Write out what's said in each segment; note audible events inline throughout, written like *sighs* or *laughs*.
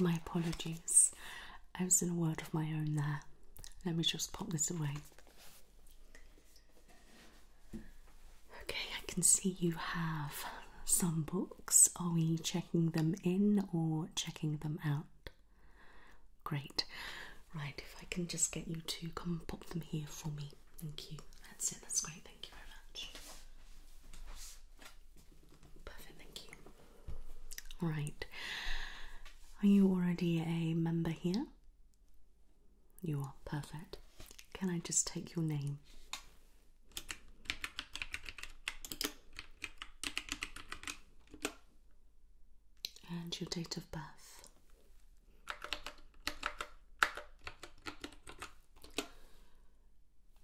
my apologies. I was in a word of my own there. Let me just pop this away. Okay, I can see you have some books. Are we checking them in or checking them out? Great. Right, if I can just get you to come and pop them here for me. Thank you. That's it, that's great. Thank you very much. Perfect, thank you. Right. Are you already a member here? You are perfect. Can I just take your name? And your date of birth.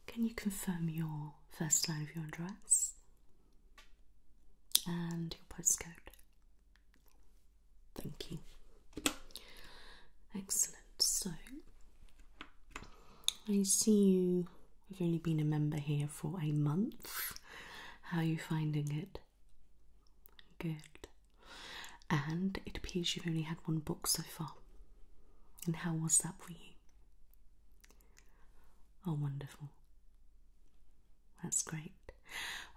Can you confirm your first line of your address and your postcode? Thank you. Excellent. So, I see you have only been a member here for a month. How are you finding it? Good. And it appears you've only had one book so far. And how was that for you? Oh, wonderful. That's great.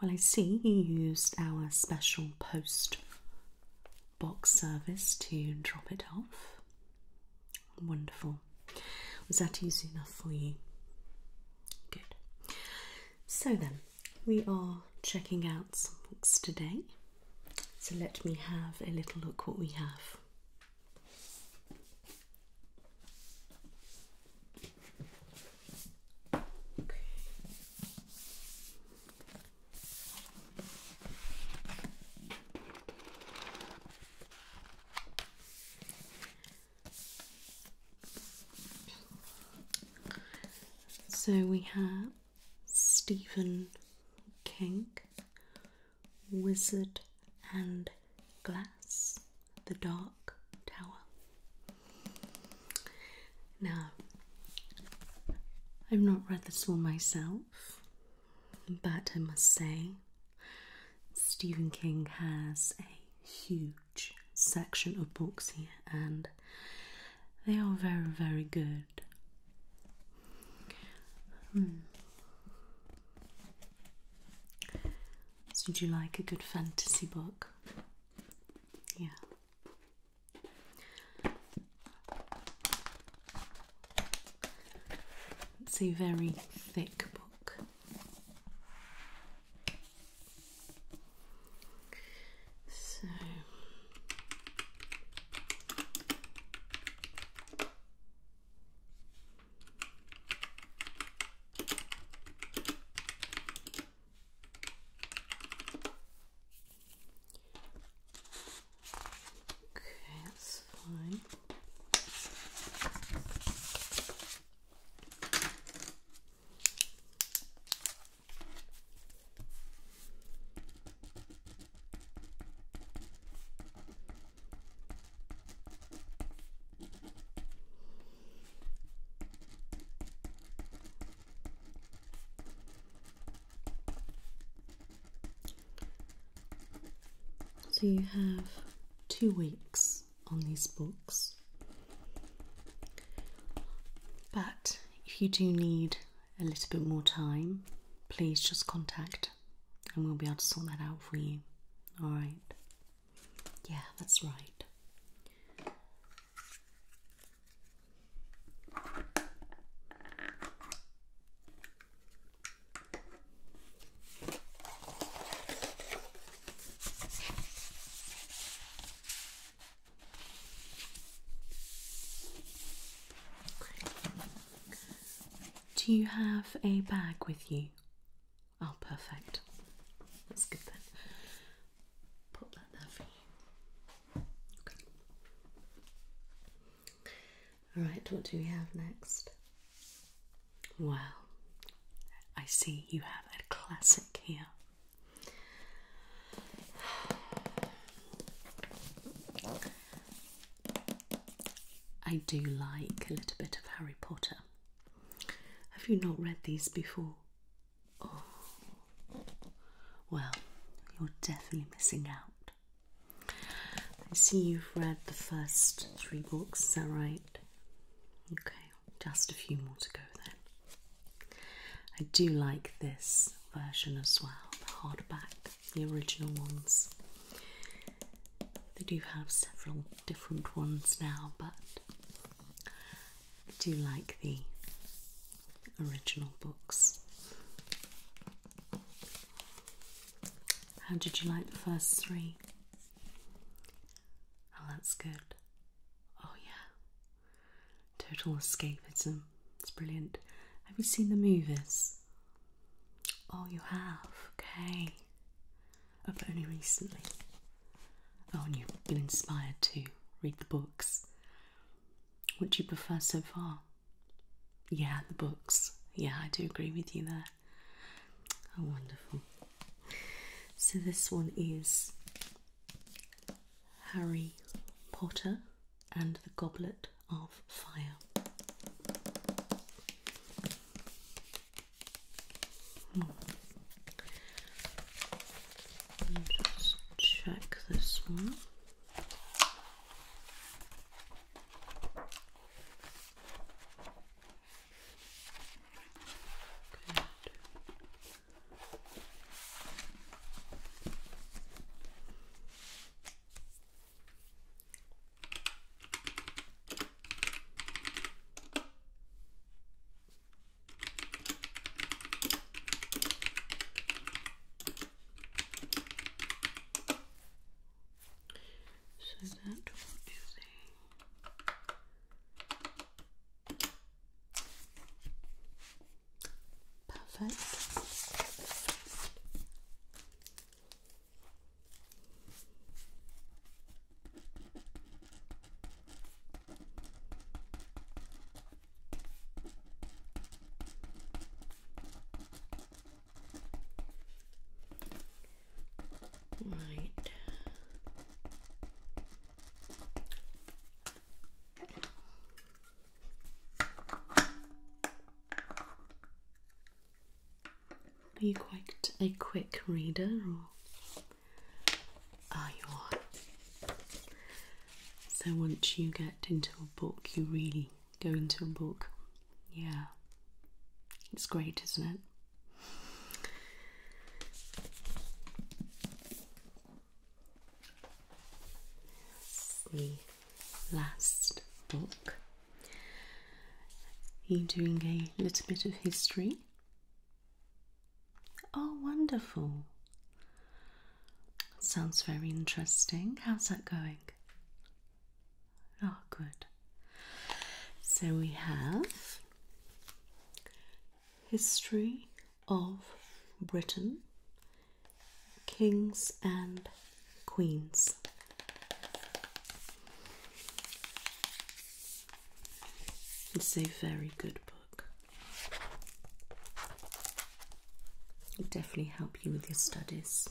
Well, I see you used our special post box service to drop it off. Wonderful. Was that easy enough for you? Good. So then, we are checking out some books today. So let me have a little look what we have. So we have Stephen King, Wizard and Glass, The Dark Tower. Now, I've not read this one myself, but I must say, Stephen King has a huge section of books here, and they are very, very good. Hmm. So, would you like a good fantasy book? Yeah. It's a very thick book. So Okay, that's fine. So you have two weeks on these books. But if you do need a little bit more time, please just contact and we'll be able to sort that out for you. Alright. Yeah, that's right. Do you have a bag with you? Oh, perfect. That's good then. Put that there for you. Okay. All right, what do we have next? Well, I see you have a classic here. I do like a little bit of Harry Potter. Have you not read these before? Oh, well, you're definitely missing out. I see you've read the first three books, is that right? Okay just a few more to go then. I do like this version as well, the hardback, the original ones. They do have several different ones now, but I do like the original books. How did you like the first three? Oh, that's good. Oh, yeah. Total escapism. It's brilliant. Have you seen the movies? Oh, you have? Okay. Oh, but only recently. Oh, and you've been inspired to read the books. What do you prefer so far? Yeah, the books. Yeah, I do agree with you there. Oh, wonderful. So, this one is Harry Potter and the Goblet of Fire. Hmm. Just check this one. Good. So that Perfect. Right. Are you quite a quick reader or are you So once you get into a book you really go into a book. Yeah. It's great, isn't it? the last book. you Are doing a little bit of history? Oh, wonderful. Sounds very interesting. How's that going? Oh, good. So we have History of Britain Kings and Queens. It's a very good book. It'll definitely help you with your studies.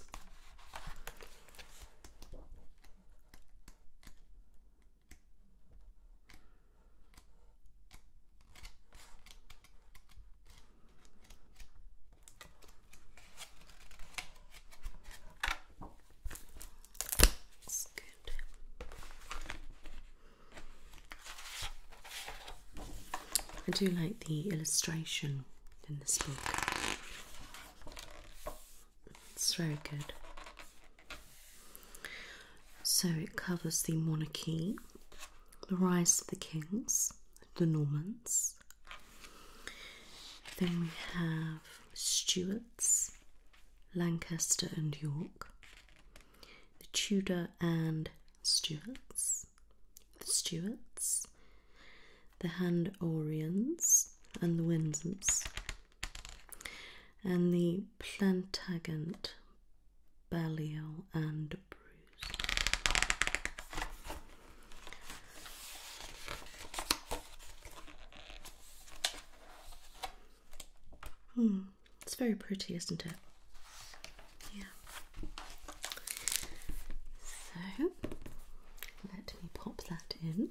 I do like the illustration in this book. It's very good. So it covers the monarchy, the rise of the kings, the Normans. Then we have Stuarts, Lancaster and York, the Tudor and Stuarts, the Stuarts, the Handoreans and the Windsors, and the Plantagenet, Balliol, and Bruce. Hmm, it's very pretty, isn't it? Yeah. So let me pop that in.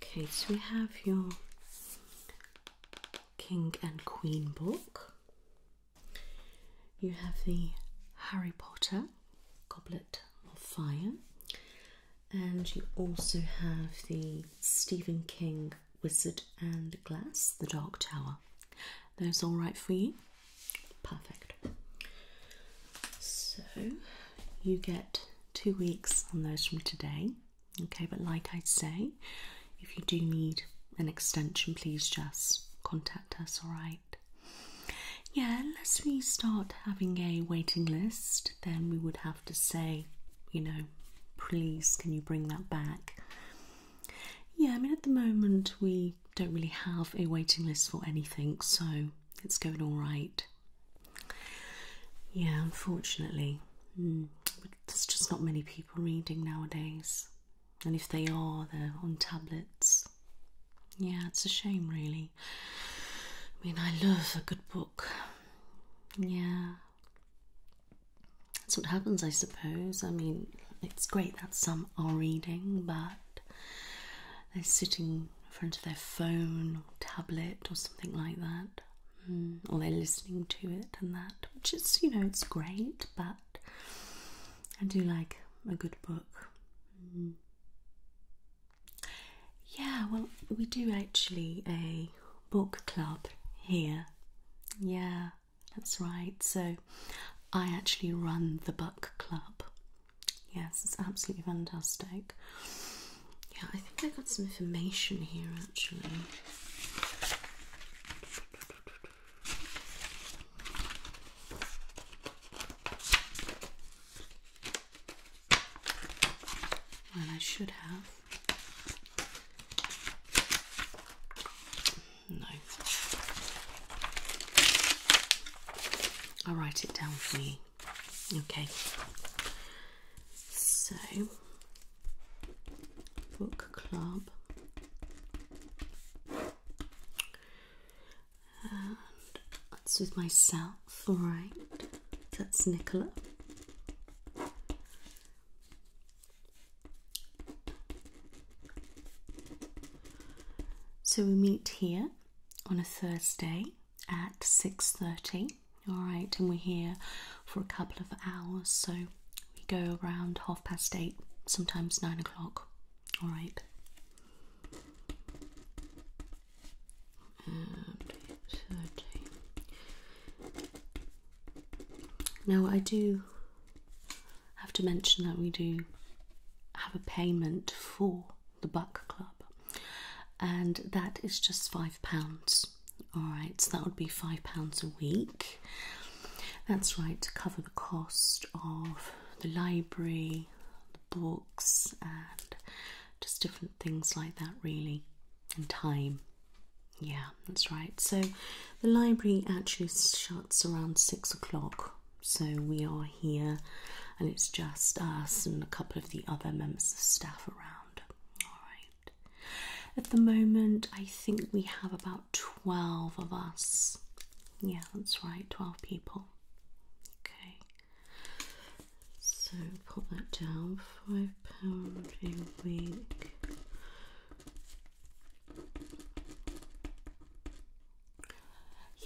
Okay, so we have your King and Queen book. You have the Harry Potter Goblet of Fire, and you also have the Stephen King Wizard and Glass, The Dark Tower. Those all right for you? Perfect. So you get two weeks on those from today. Okay, but like I say, if you do need an extension, please just contact us, alright? Yeah, unless we start having a waiting list, then we would have to say, you know, please can you bring that back? Yeah, I mean, at the moment we don't really have a waiting list for anything, so it's going all right. Yeah, unfortunately, hmm. there's just not many people reading nowadays, and if they are, they're on tablets. Yeah, it's a shame, really. I mean, I love a good book. Yeah. That's what happens, I suppose. I mean, it's great that some are reading, but they're sitting in front of their phone or tablet or something like that, mm. or they're listening to it and that, which is, you know, it's great, but I do like a good book. Mm. Yeah, well, we do actually a book club here. Yeah, that's right. So I actually run the book club. Yes, it's absolutely fantastic. Yeah, I think I got some information here actually. Well, I should have. No. I'll write it down for you Okay, so book club. that's with myself, alright. That's Nicola. So we meet here on a Thursday at 6.30 all right and we're here for a couple of hours so we go around half past eight sometimes nine o'clock all right now i do have to mention that we do have a payment for the buck club and that is just five pounds. All right, so that would be five pounds a week. That's right to cover the cost of the library, the books, and just different things like that, really, and time. Yeah, that's right. So the library actually shuts around six o'clock. So we are here, and it's just us and a couple of the other members of staff around. Alright. At the moment, I think we have about 12 of us. Yeah, that's right, 12 people. Okay. So put that down. £5 a week.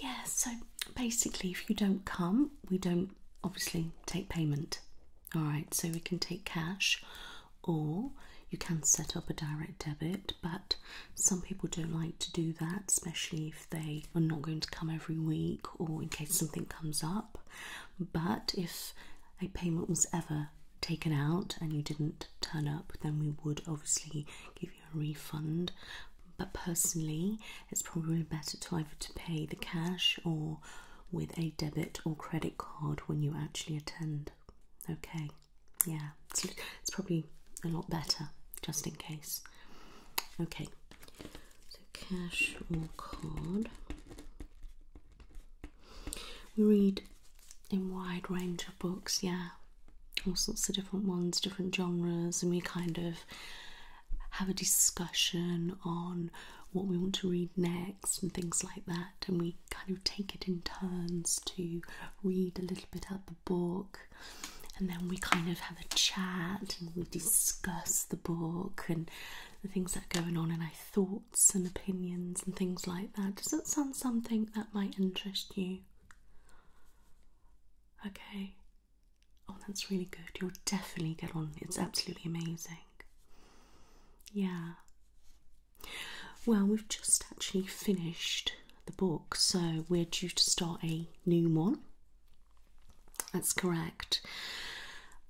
Yeah, so basically, if you don't come, we don't obviously take payment. All right, so we can take cash or you can set up a direct debit, but some people don't like to do that, especially if they are not going to come every week or in case something comes up. But if a payment was ever taken out and you didn't turn up, then we would obviously give you a refund. But personally, it's probably better to either to pay the cash or with a debit or credit card when you actually attend. Okay, yeah, it's, probably a lot better just in case. Okay, so cash or card. We read in wide range of books, yeah, all sorts of different ones, different genres, and we kind of have a discussion on what we want to read next and things like that, and we kind of take it in turns to read a little bit of the book, and then we kind of have a chat and we discuss the book and the things that are going on and our thoughts and opinions and things like that. Does that sound something that might interest you? Okay, Oh, that's really good. You'll definitely get on. It's absolutely amazing. Yeah. Well, we've just actually finished the book, so we're due to start a new one. That's correct.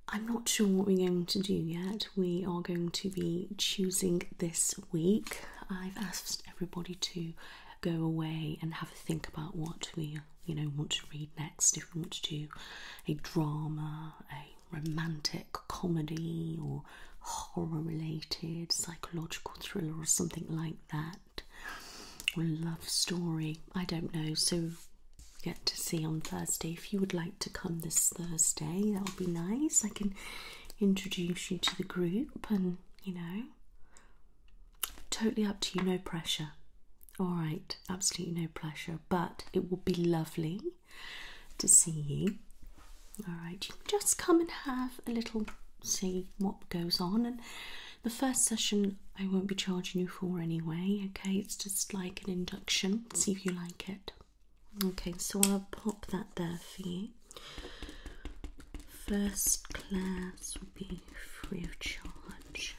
I'm not sure what we're going to do yet. We are going to be choosing this week. I've asked everybody to go away and have a think about what we you know want to read next, if we want to do a drama, a romantic comedy, or horror related psychological thriller, or something like that, or love story, I don't know. So, get to see on Thursday if you would like to come this Thursday, that would be nice. I can introduce you to the group and you know. Totally up to you, no pressure. All right, absolutely no pressure, but it will be lovely to see you. All right, you just come and have a little see what goes on. And the first session I won't be charging you for anyway, okay? It's just like an induction, see if you like it. Okay, so I'll pop that there for you. First class will be free of charge.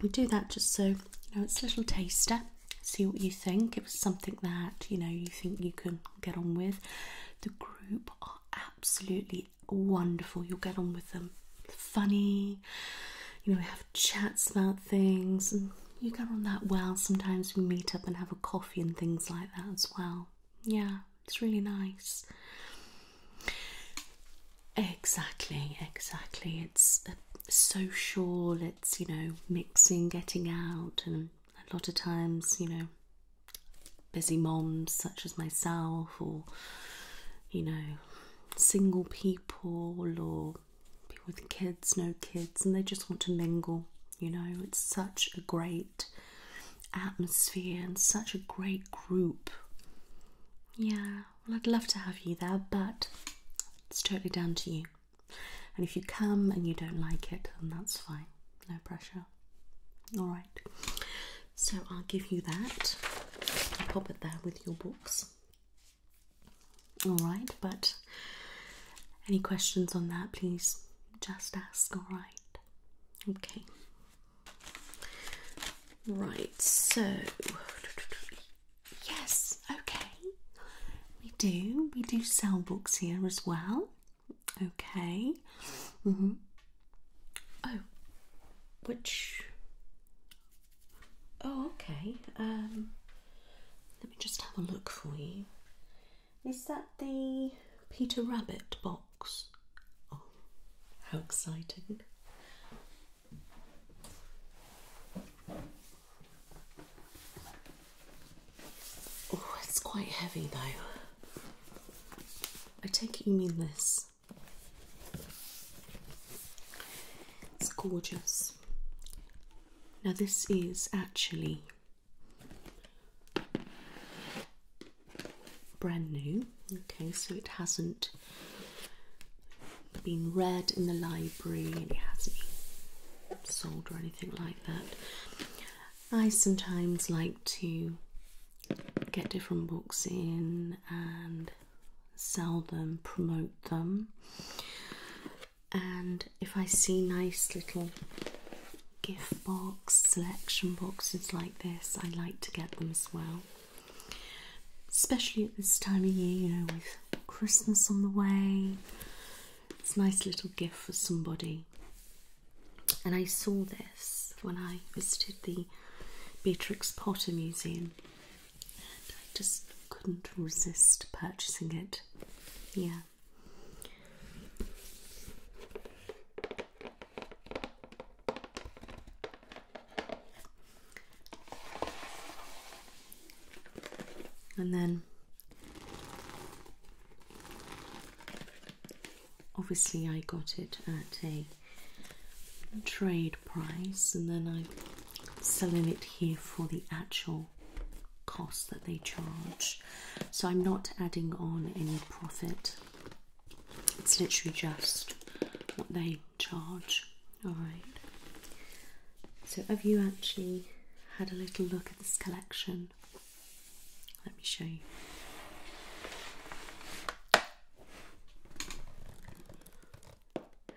We do that just so you know it's a little taster. See what you think. It was something that you know you think you can get on with. The group are absolutely wonderful. You'll get on with them. Funny, you know, we have chats about things, and you get on that well. Sometimes we meet up and have a coffee and things like that as well. Yeah, it's really nice. Exactly, exactly. It's uh, social, it's, you know, mixing, getting out, and a lot of times, you know, busy moms such as myself, or, you know, single people, or people with kids, no kids, and they just want to mingle. You know, it's such a great atmosphere and such a great group. Yeah, well, I'd love to have you there, but it's totally down to you. And if you come and you don't like it, then that's fine, no pressure. Alright, so I'll give you that. I'll pop it there with your books. Alright, but any questions on that, please just ask, alright? Okay, Right, so yes, okay. We do, we do sell books here as well. Okay. Mm -hmm. Oh, which? Oh, okay. Um, let me just have a look for you. Is that the Peter Rabbit box? Oh, how exciting! Oh, it's quite heavy though. I take it you mean this. It's gorgeous. Now, this is actually brand new. Okay, so it hasn't been read in the library and it hasn't been sold or anything like that. I sometimes like to get different books in and sell them, promote them. And if I see nice little gift box, selection boxes like this, I like to get them as well especially at this time of year, you know, with Christmas on the way. It's a nice little gift for somebody. And I saw this when I visited the Beatrix Potter Museum, and I just couldn't resist purchasing it. Yeah. And then obviously, I got it at a trade price, and then I'm selling it here for the actual cost that they charge. So I'm not adding on any profit it's literally just what they charge. Alright. So have you actually had a little look at this collection? Let me show you.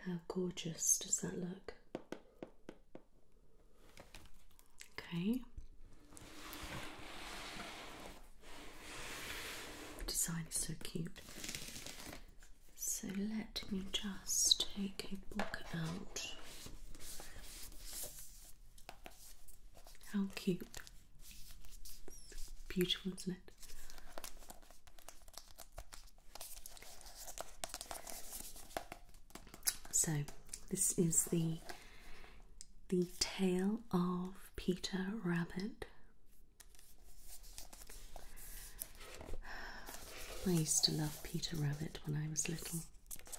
How gorgeous does that look? Okay. The design is so cute. So let me just take a book out. How cute. beautiful, isn't it? So this is the the tale of Peter Rabbit. I used to love Peter Rabbit when I was little,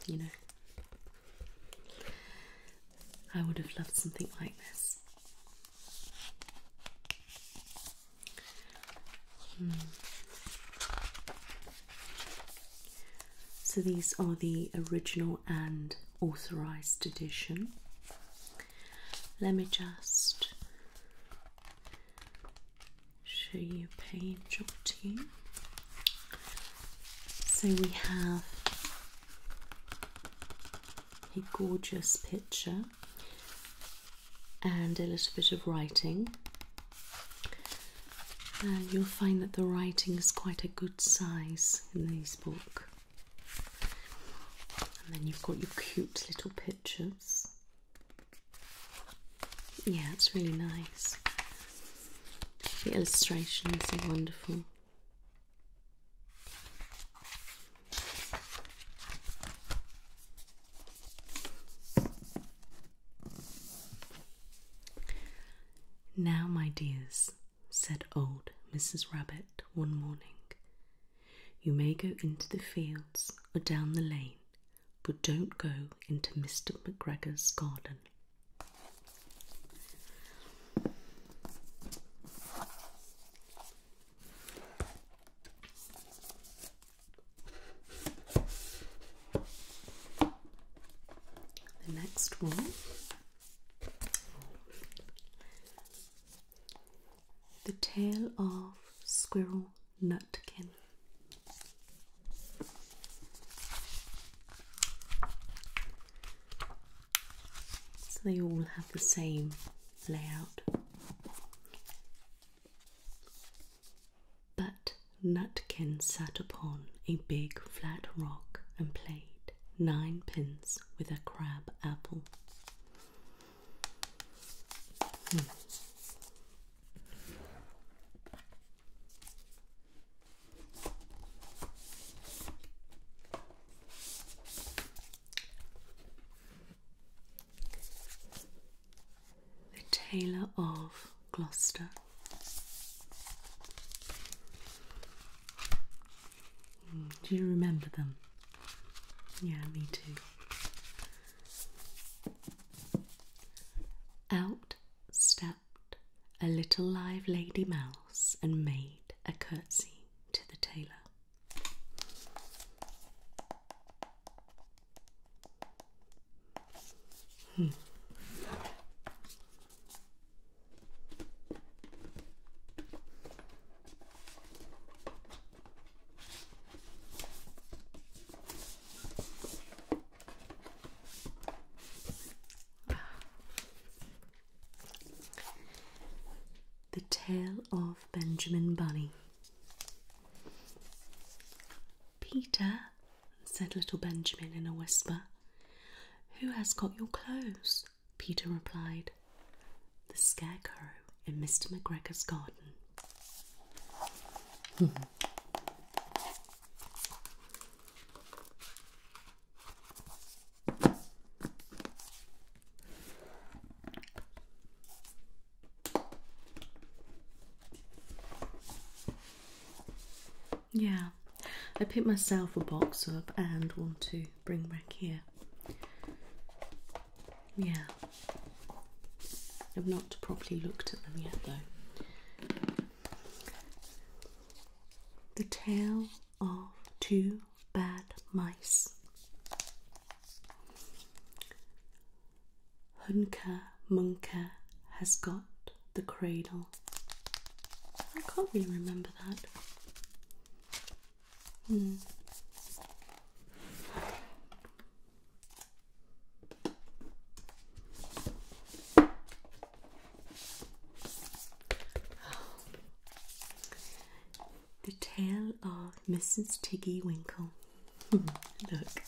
you know. I would have loved something like this. Hmm. So these are the original and authorized edition. Let me just show you a page or two. So we have a gorgeous picture and a little bit of writing. Uh, you'll find that the writing is quite a good size in this book and then you've got your cute little pictures. Yeah, it's really nice. The illustrations are wonderful. Now, my dears, said old Mrs. Rabbit one morning. You may go into the fields or down the lane, but don't go into Mr. McGregor's garden. The next one the Tale of Squirrel Nutkin. So they all have the same layout. But Nutkin sat upon a big flat rock and played nine pins with a crab apple. Hmm. The Tailor of Gloucester do you remember them? Yeah, me too. Out stepped a little live lady mouse and made a curtsy to the tailor. Hmm. The Tale of Benjamin Bunny. Peter, said little Benjamin in a whisper, who has got your clothes? Peter replied, The scarecrow in Mr. McGregor's garden. Hmm. Yeah, I picked myself a box up and one, two, bring back here. Yeah, I've not properly looked at them yet though. The Tale of Two Bad Mice. Hunker Munker has got the cradle. I can't really remember that. The tale of Mrs. Tiggy Winkle. *laughs* Look,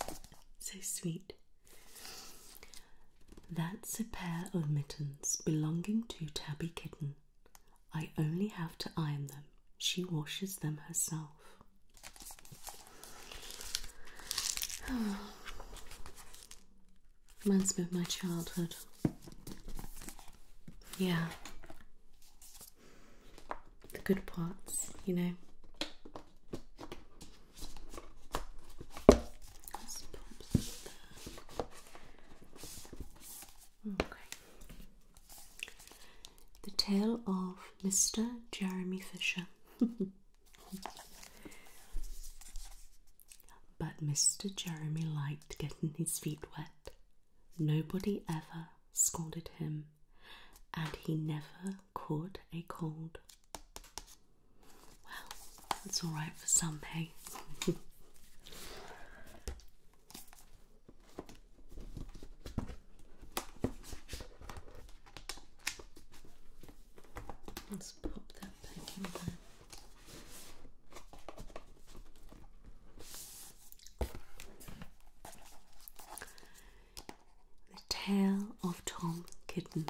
so sweet. That's a pair of mittens belonging to Tabby Kitten. I only have to iron them. She washes them herself. *sighs* Reminds me of my childhood. Yeah. The good parts, you know. The Tale of Mr. Jeremy Fisher. *laughs* but Mr. Jeremy liked getting his feet wet. Nobody ever scolded him, and he never caught a cold. Well, that's alright for some, hey? *laughs* Let's pop that back in there. The Tale of Tom Kitten.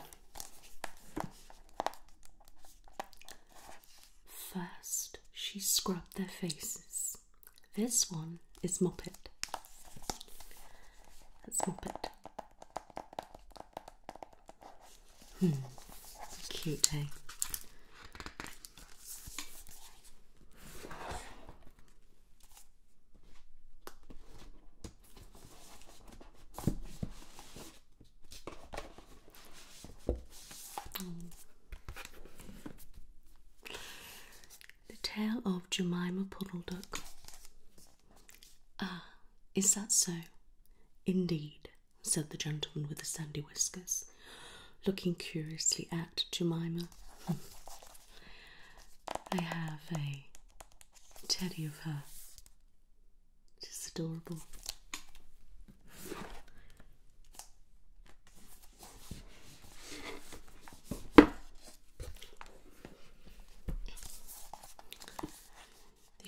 First, she scrubbed their faces. This one is Moppet. That's Moppet. Hmm, cute, thing. Eh? Mm. The tale of Jemima Puddle Duck. Ah, is that so? Indeed, said the gentleman with the sandy whiskers, looking curiously at Jemima. I have a teddy of her. She's adorable. The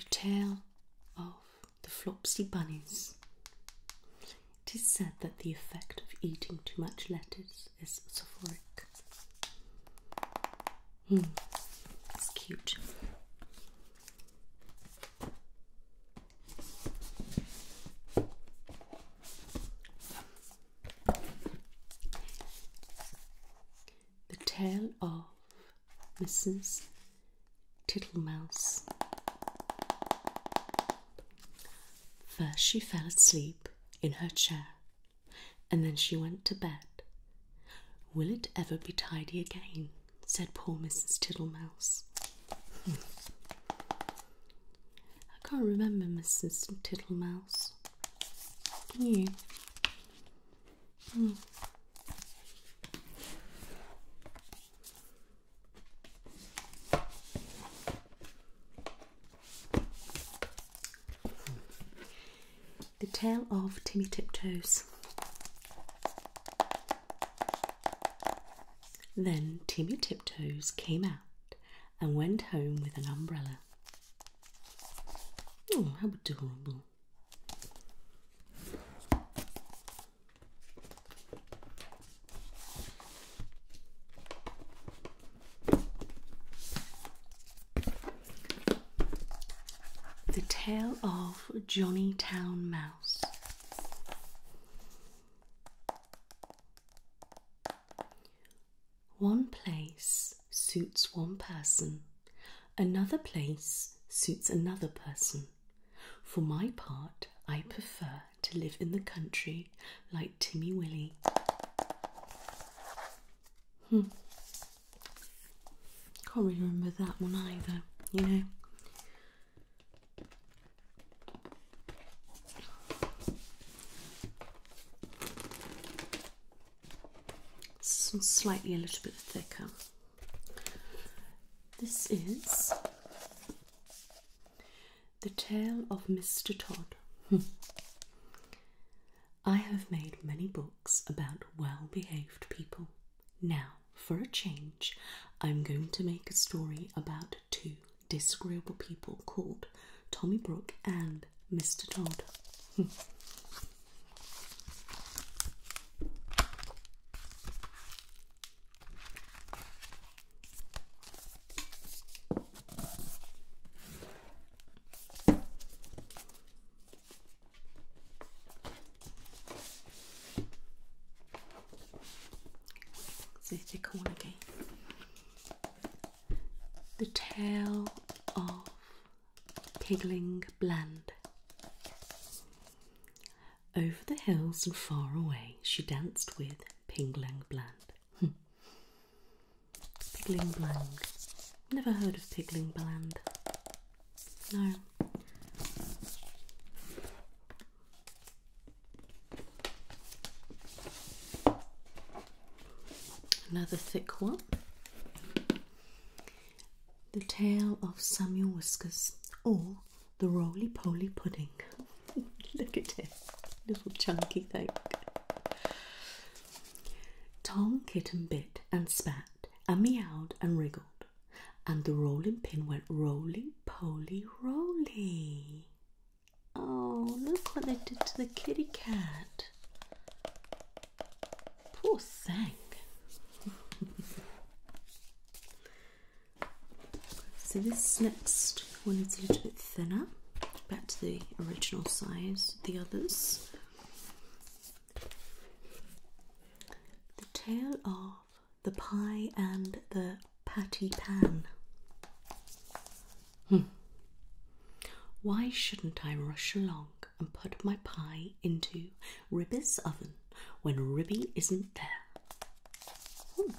tale of the Flopsy Bunnies. It is said that the effect of eating too much lettuce is soporific. Hmm, it's cute. The Tale of Mrs. Tittlemouse. First, she fell asleep in her chair, and then she went to bed. Will it ever be tidy again? said poor Mrs. Tittlemouse. *laughs* I can't remember Mrs. Tittlemouse. Can you? Hmm. The Tale of Timmy Tiptoes. Then Timmy Tiptoes came out and went home with an umbrella. Oh, how adorable! The Tale of Johnny Town Mouse. One place suits one person, another place suits another person. For my part, I prefer to live in the country like Timmy Willie. Hmm. Can't remember that one either, you know slightly a little bit thicker. This is The Tale of Mr. Todd. *laughs* I have made many books about well behaved people. Now, for a change, I'm going to make a story about two disagreeable people called Tommy Brook and Mr. Todd. So take one again. The tale of Pigling Bland. Over the hills and far away, she danced with Pigling Bland. Hmm. Pigling Bland. Never heard of Pigling Bland. No. Another thick one. The Tale of Samuel Whiskers or the Roly Poly Pudding. *laughs* Look at it, little chunky thing. Tom Kitten bit and spat and meowed and wriggled and the rolling pin went rolling, polly, rolly. Oh, look what they did to the kitty cat. Poor thing. *laughs* so this next one is a little bit thinner, back to the original size, the others. The tail of the pie and the patty pan. Hmm. Why shouldn't I rush along and put my pie into Ribby's oven when Ribby isn't there? Hmm.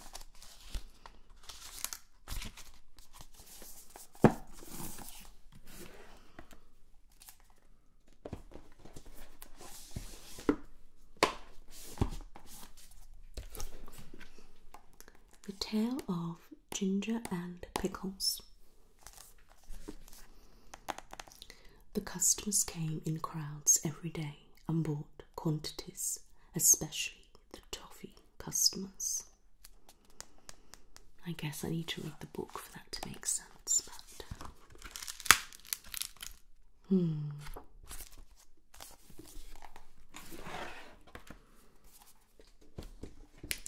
The tale of ginger and pickles. The customers came in crowds every day and bought quantities, especially the toffee customers. I guess I need to read the book for that to make sense, Hmm.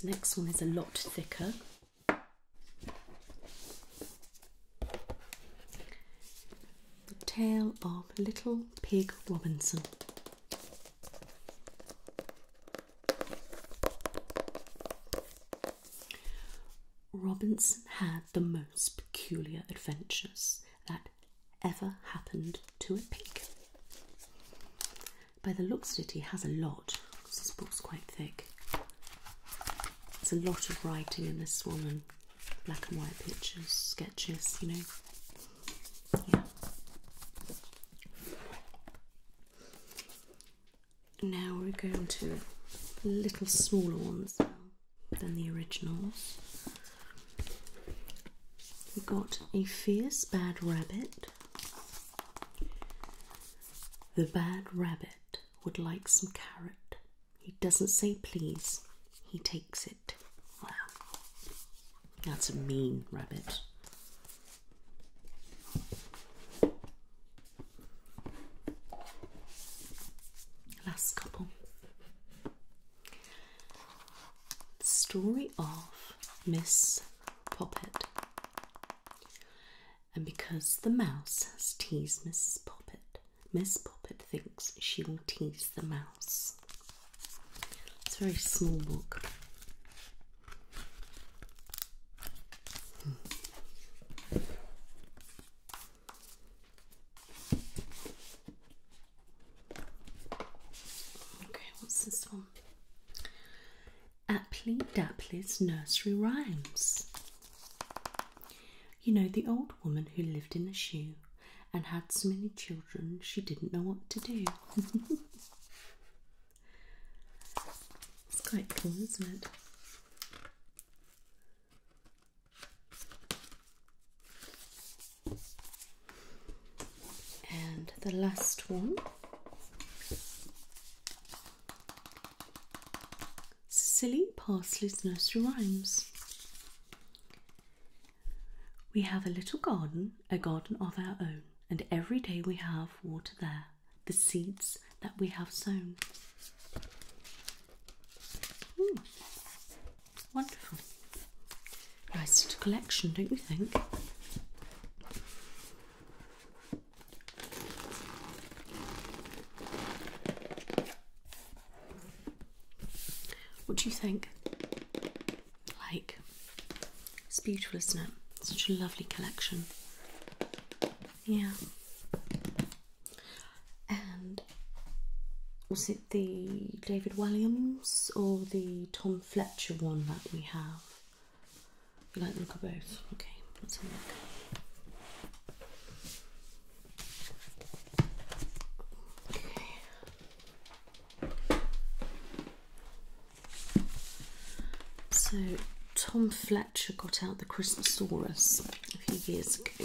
Next one is a lot thicker. The Tale of Little Pig Robinson. Robinson had the most peculiar adventures that ever happened to a pig. By the looks of it, he has a lot because this book's quite thick. There's a lot of writing in this one and black and white pictures, sketches, you know. Yeah. Now we're going to little smaller ones than the originals. We got a fierce bad rabbit. The bad rabbit would like some carrot. He doesn't say please, he takes it. Wow, that's a mean rabbit. Last couple. Story of Miss Poppet. And because the mouse has teased Mrs. Poppet, Miss Poppet thinks she will tease the mouse. It's a very small book. Hmm. Okay, what's this one? Apply Dapply's Nursery Rhymes. You know, the old woman who lived in a shoe and had so many children she didn't know what to do. *laughs* it's quite cool, isn't it? And the last one Silly Parsley's Nursery Rhymes. We have a little garden, a garden of our own, and every day we have water there, the seeds that we have sown. Hmm. Wonderful. Nice little collection, don't you think? What do you think? Like, it's beautiful, isn't it? Such a lovely collection. Yeah and was it the David Williams or the Tom Fletcher one that we have? You like the look of both? Okay, let's have a look. So Tom Fletcher got out the Christosaurus a few years ago.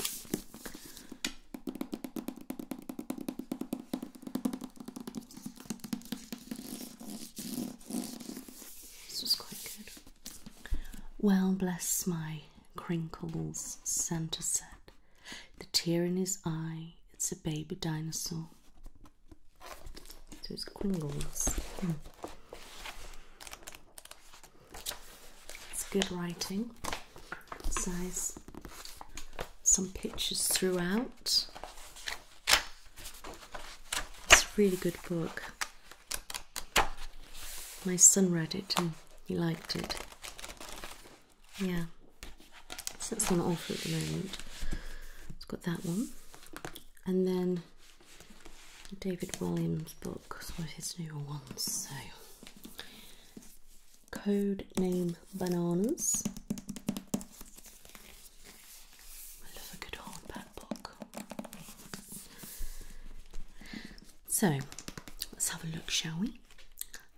This was quite good. Well, bless my crinkles, Santa said. The tear in his eye, it's a baby dinosaur. So it's crinkles. Hmm. It's good writing. It says some pictures throughout. It's a really good book. My son read it and he liked it. Yeah. that's on offer at the moment. It's got that one. And then David Williams book, some of his newer ones. So Code name Bananas. I love a good hardback book. So let's have a look, shall we?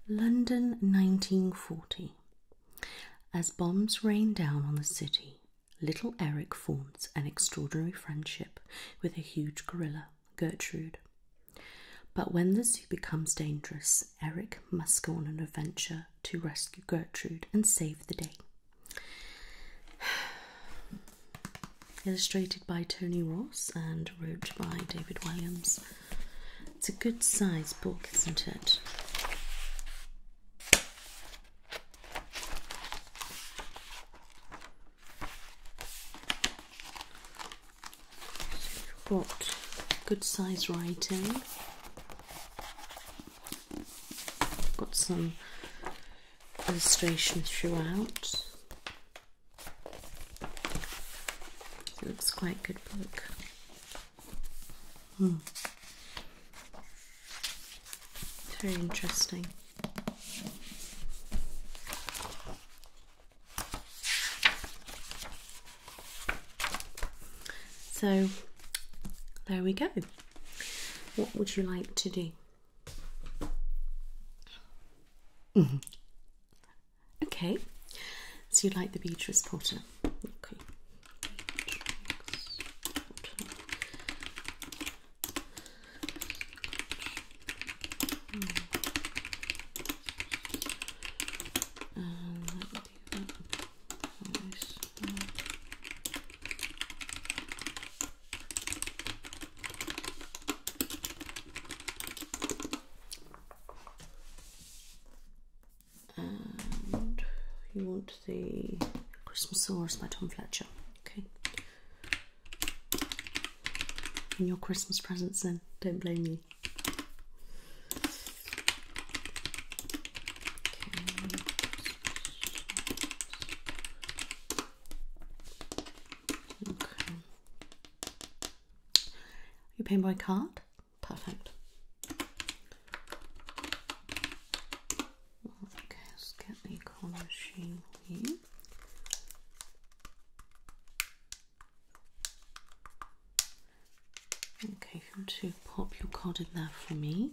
London 1940. As bombs rain down on the city, little Eric forms an extraordinary friendship with a huge gorilla. Gertrude. But when the zoo becomes dangerous, Eric must go on an adventure to rescue Gertrude and save the day. *sighs* Illustrated by Tony Ross and wrote by David Williams. It's a good size book, isn't it? got good size writing. Got some illustration throughout. looks quite good book. Hmm. Very interesting. So there we go. What would you like to do? Mm-hmm. Okay, so you like the Beatrice Potter and you want the Christmas Source by Tom Fletcher. Okay, in your Christmas presents then. Don't blame me. Okay. okay. You paying card? Perfect. Okay, let's get the card machine here. Okay, if you want to pop your card in there for me.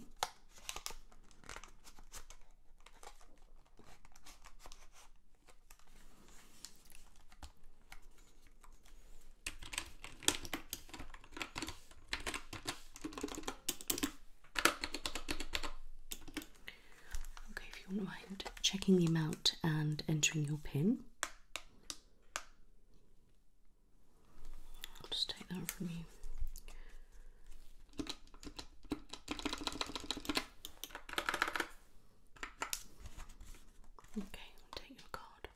Okay, if you wouldn't mind checking the amount and entering your PIN. just take that from you. Okay, take your card.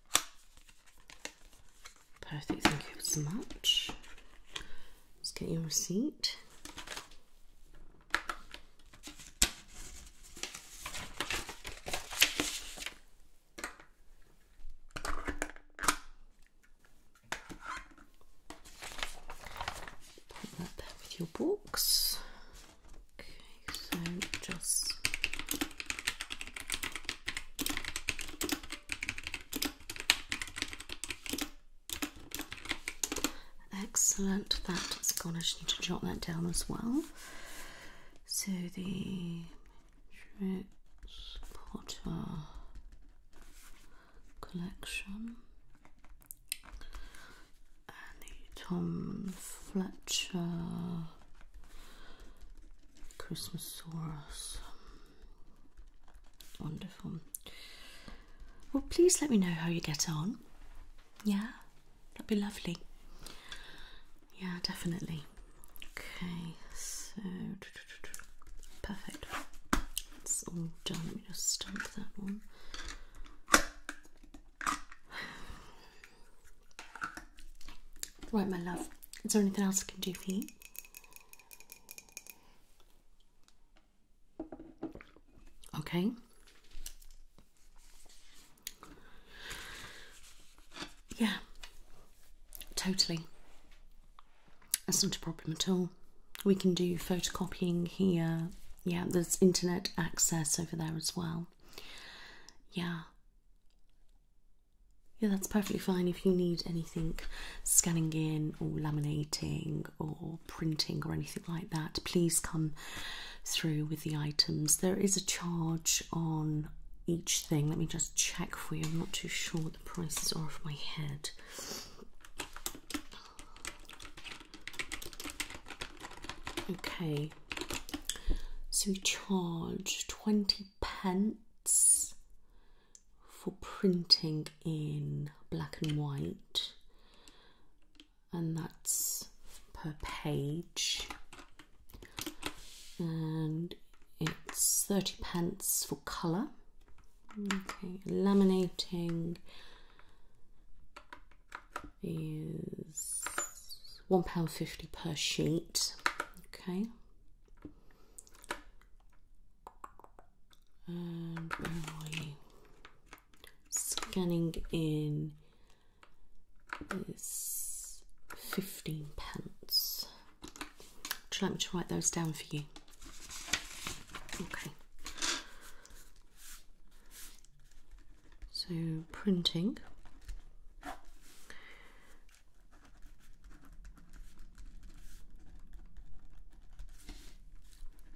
Perfect, thank you so much. Let's get your receipt. Put that there with your books. Okay, so just Excellent. That's gone. I just need to jot that down as well. So the Trix Potter collection and the Tom Fletcher Christmasaurus. Wonderful. Well, please let me know how you get on. Yeah, That'd be lovely. Yeah, definitely. Okay, so perfect. It's all done. Let just stamp that one. Right, my love. Is there anything else I can do for you? Okay. Yeah, totally. That's not a problem at all. We can do photocopying here. Yeah, there's internet access over there as well. Yeah. Yeah, that's perfectly fine if you need anything scanning in or laminating or printing or anything like that, please come through with the items. There is a charge on each thing. Let me just check for you. I'm not too sure what the prices are off my head. Okay, so we charge 20 pence for printing in black and white and that's per page and it's 30 pence for colour okay laminating is £1.50 per sheet okay scanning in is 15 pence. Would you like me to write those down for you? Okay. So printing.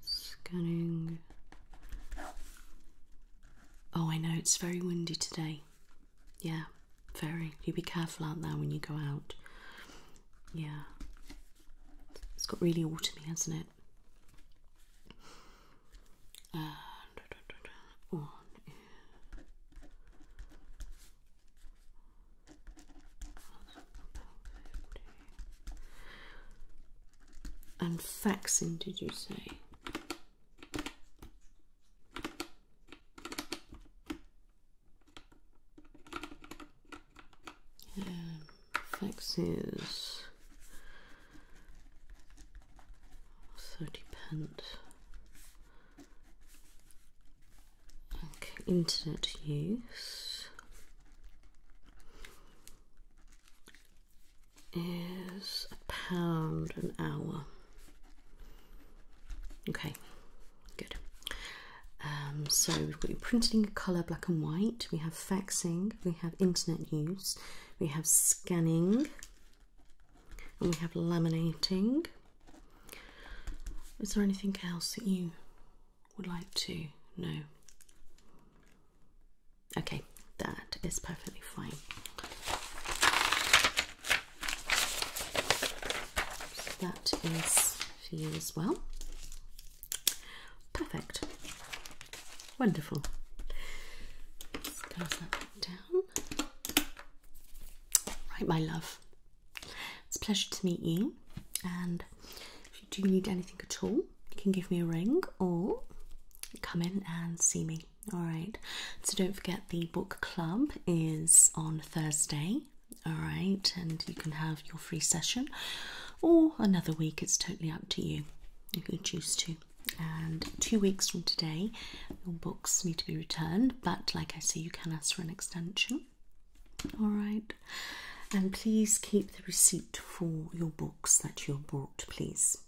Scanning Oh, I know, it's very windy today. Yeah, very. You be careful out there when you go out. Yeah. It's got really autumny, hasn't it? Uh, and faxing, did you say? Yeah, faxes thirty pence. Okay, internet use is a pound an hour. Okay, good. Um, so we've got your printing colour, black and white. We have faxing. We have internet use. We have scanning. And we have laminating. Is there anything else that you would like to know? Okay, that is perfectly fine. that is for you as well. Perfect. Wonderful. Let's close that down. Right, my love. It's a pleasure to meet you. And if you do need anything at all, you can give me a ring or come in and see me. All right. So don't forget the book club is on Thursday. All right. And you can have your free session or another week. It's totally up to you. You can choose to. And two weeks from today, your books need to be returned. But like I say, you can ask for an extension. All right. And please keep the receipt for your books that you've bought, please.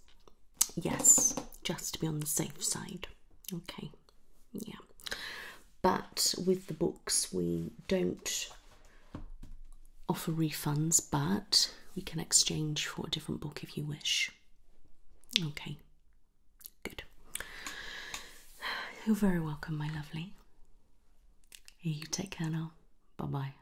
Yes, just to be on the safe side. Okay, yeah. But with the books, we don't offer refunds, but we can exchange for a different book if you wish. Okay, good. You're very welcome, my lovely. You take care now. Bye bye.